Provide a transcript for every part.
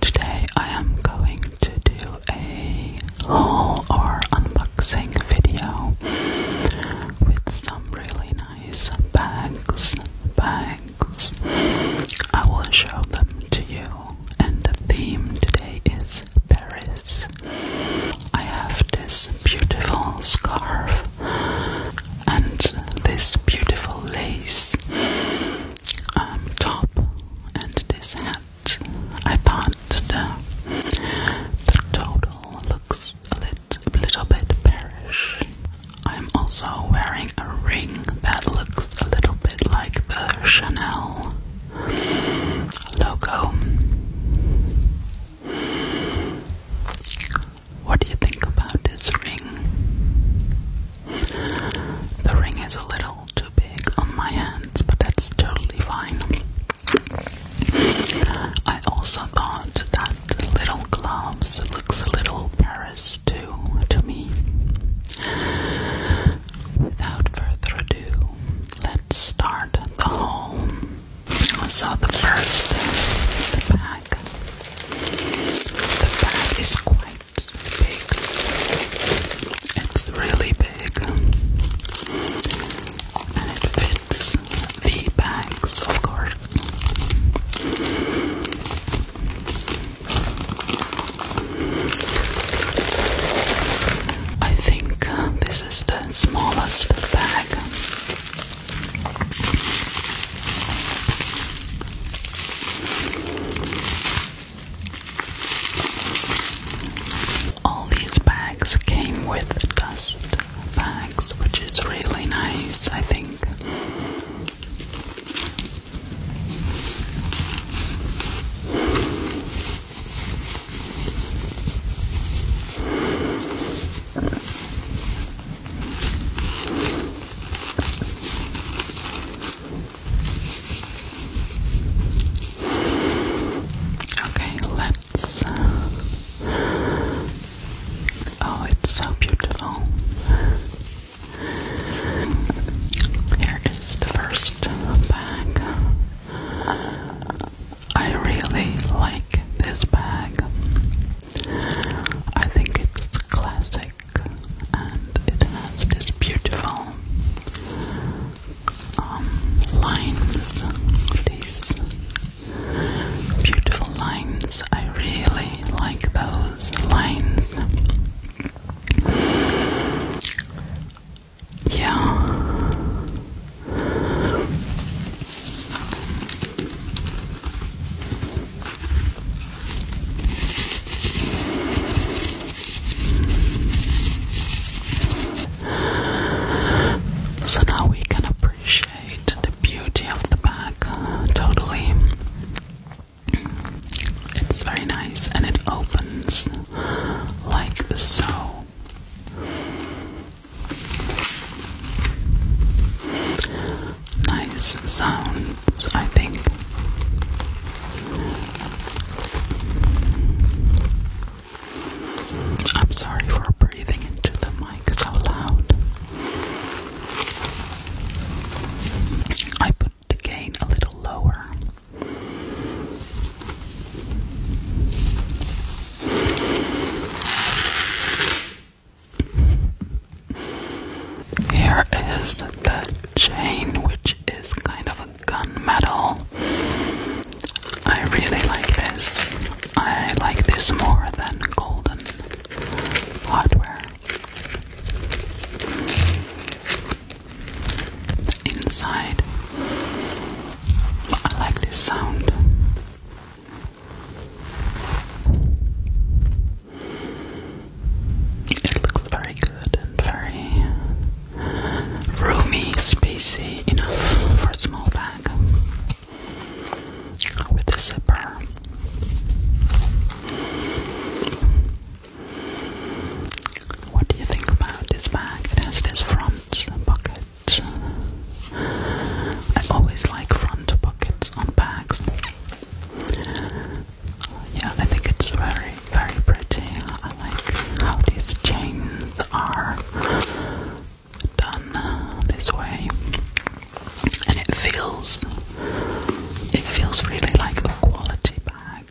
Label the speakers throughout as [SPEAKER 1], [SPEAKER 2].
[SPEAKER 1] Today I am going to do a haul or unboxing video with some really nice bags. Bags. I will show them to you. And the theme today is Paris. I have this beautiful scarf and this beautiful lace. Um, top and this hat. I thought the, total looks a little, bit bearish. I'm also wearing a ring that looks a little bit like the Chanel logo. What do you think about this ring? The ring is a little too big on my hands, but that's totally fine. I also thought that little gloves looks a little Paris too to me. Without further ado, let's start the haul. So the first the bag. The bag is quite it's big. It's really big. And it fits the bags, of course. I think uh, this is the smallest bag. All these bags came with dust bags, which is really nice, I think. Okay, let's. Uh, oh, it's so beautiful. Here is the first bag. I really like this bag. I think it's classic and it has this beautiful um, lines, these beautiful lines. I really like those lines. Yeah. So now we can appreciate the beauty of the bag totally. It's very nice and it opens like so. Nice sound. I think. I'm sorry for breathing into the mic so loud. I put the gain a little lower. Here is the chain, which is kind of a gunmetal. I really like this. I like this more than golden hardware. Inside, I like this sound. It looks very good and very roomy, spacious enough for a small bag with a zipper. What do you think about this bag? It has this front pocket. I always like front pockets on bags. Yeah, I think it's very, very pretty. I like how these chains are done this way, and it feels, it feels really like a quality bag.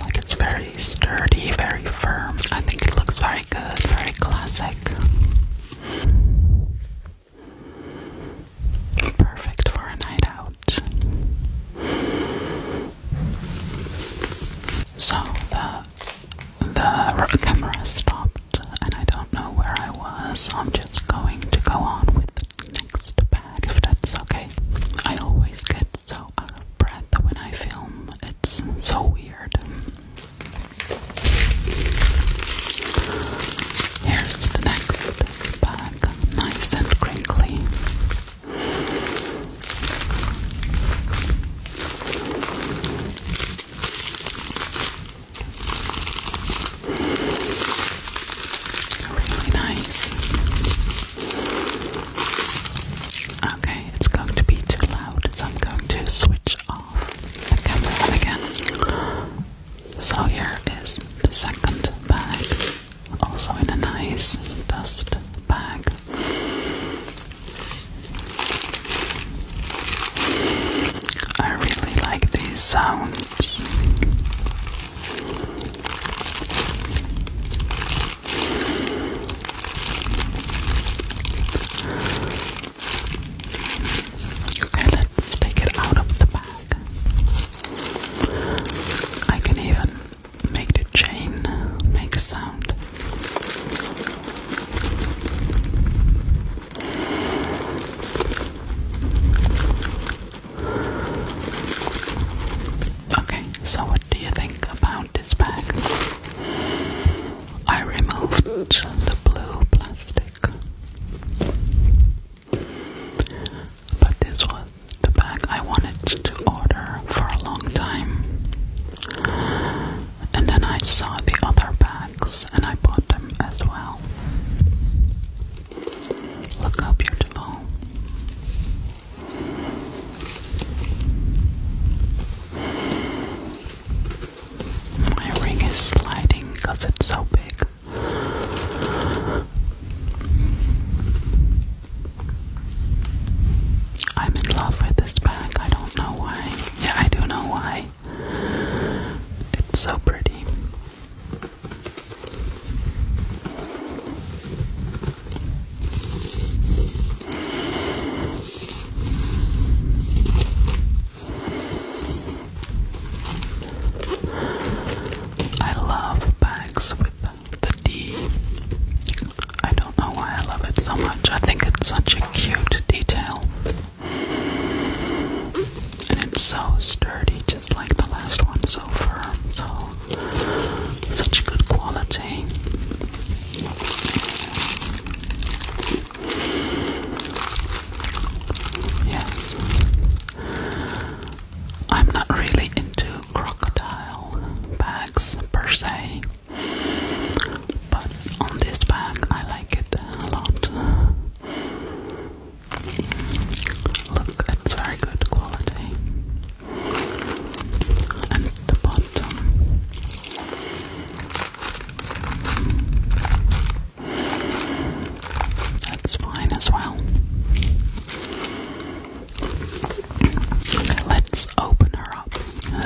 [SPEAKER 1] Like it's very sturdy, very firm. I think it looks very good, very classic. Perfect for a night out. So the the camera stopped, and I don't know where I was. I'm just going to go on with next bag, if that's okay. I always get so out of breath when I film. It's so weird. Here's the next back nice and crinkly. Really nice. Okay, it's going to be too loud, so I'm going to switch off the camera again. So here is the second bag also in a nice dust bag. I really like these sounds. Okay, let's take it out of the bag. I can even make the chain make a sound. Okay, so what do you think about this bag? I removed the blue plastic. But this was the bag I wanted to order for a long time. And then I saw the other bags and I bought them as well. Look how beautiful. My ring is sliding because it's so big. I'm in love with this bag. I don't know why. Yeah, I do know why. It's so pretty. I love bags with the D. I don't know why I love it so much. I think it's such a cute detail. And it's so sturdy, just like the last one, so firm, so such good quality. Yes. I'm not really into crocodile bags per se, but on this bag I like it a lot. Look, it's very good quality. And the bottom that's fine as well. let's open her up.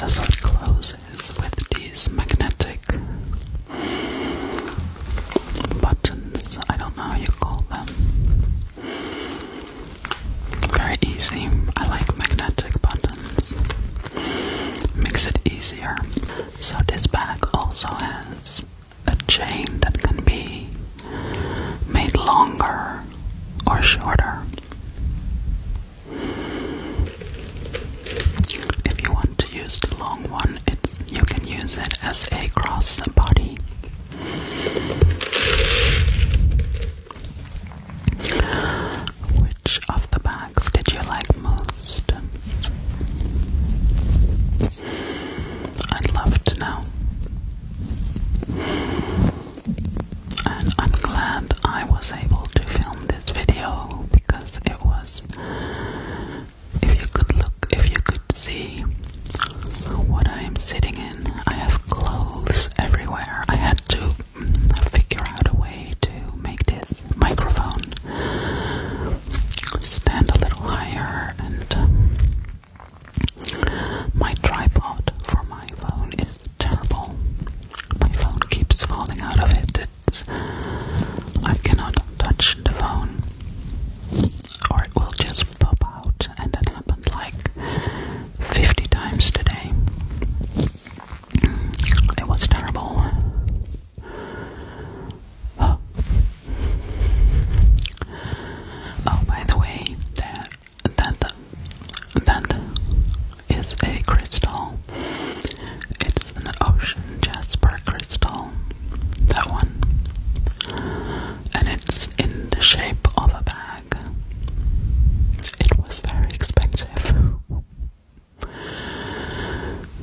[SPEAKER 1] As closes with these magnetic buttons. I don't know you call them. Very easy. I like magnetic buttons. Makes it easier. So this bag also has a chain that can be made longer or shorter. If you want to use the long one, it's, you can use it as a cross the body. Which of the bags did you like most? I'd love to know. And I'm glad I was able to film this video because it was if you could look, if you could see what I am sitting in, I have clothes everywhere. I had to figure out a way to make this microphone stand a little higher and uh, my tripod for my phone is terrible. My phone keeps falling out of it. I cannot touch the phone or it will just pop out and it happened like 50 times today. It was terrible. Oh. oh, by the way, that that that is a crystal. It's an ocean jasper crystal. That one, and it's in the shape of a bag. It was very expensive.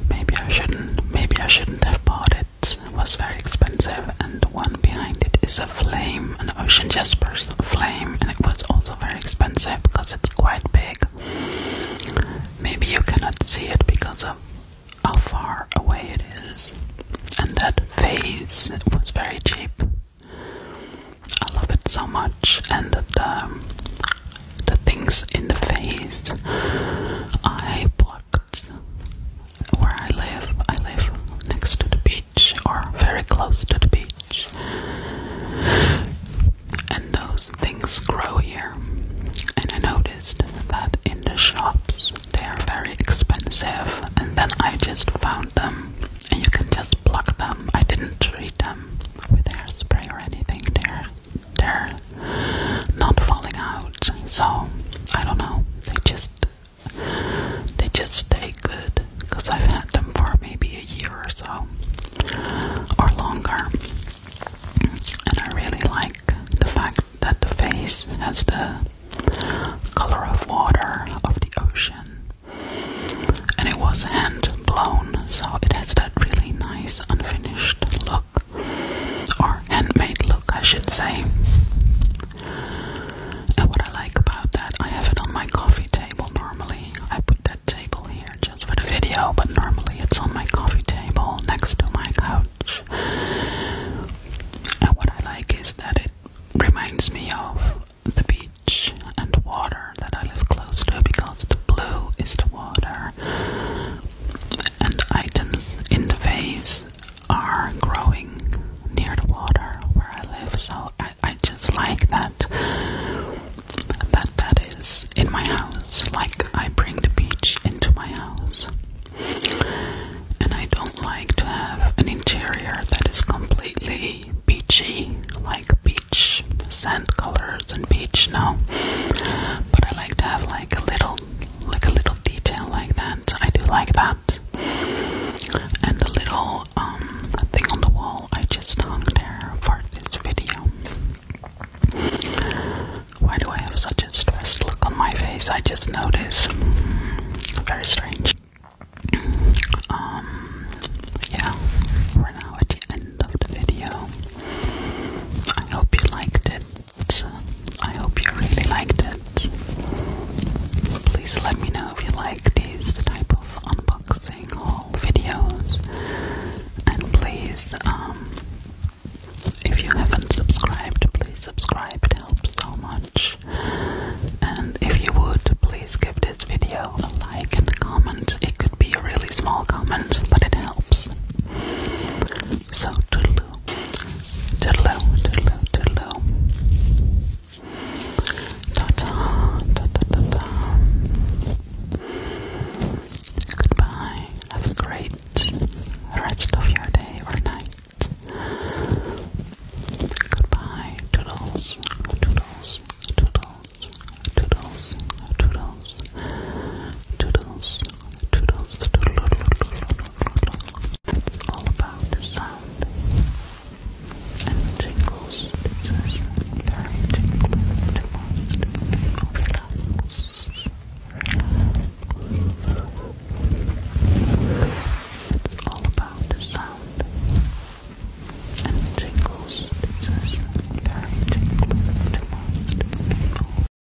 [SPEAKER 1] Maybe I shouldn't. Maybe I shouldn't have bought it it was very expensive, and the one behind it is a flame, an ocean jasper's flame, and it was also very expensive because it's quite big. Maybe you cannot see it because of how far away it is, and that vase was very cheap. I love it so much, and the the things in the phase I plucked where I live, I live next to the beach or very close to the beach, and those things grow here. And I noticed that in the shops they are very expensive, and then I just found them, and you can just block them. I didn't treat them with hairspray or anything, there they're not falling out. So I don't know. They just they just stay good because I've had them for maybe a year or so or longer. And I really like the fact that the face has the color of water of the ocean. And it was hand blown, so it has that really nice unfinished look or handmade look, I should say. And what I like about that, I have it on my coffee table normally. I put that table here just for the video, but normally it's on my coffee table next to my couch. And what I like is that it reminds me of the beach and water that I live close to because the blue is the water and the items in the vase are growing near the water where I live, so I, I just like that that that is in my house. Like I bring the beach into my house. And I don't like to have an interior that is completely beachy, like beach sand colors and beach, no. But I like to have like a little like a little detail like that. I do like that. And a little um thing on the wall I just hung there for this video. Why do I have such a stressed look on my face? I just noticed. Very strange. Um yeah, we're now at the end of the video. I hope you liked it. I hope you really liked it. Please let me know if you like these type of unboxing haul videos. And please, um, if you haven't subscribed, please subscribe. It helps so much. And if you would, please give this video a like and comment. It could be a really small comment, but it helps. So, toodaloo. Toodaloo, toodaloo, toodaloo. Ta-ta, ta-ta-ta-ta. Goodbye. Have a great rest of your day or night. Goodbye. Toodles, toodles, toodles, toodles, toodles, toodles, it's all about the sound and tingles. It's very tingly to most people. Relax. Relax. It's all about the sound and tingles. It's very tingly to most people.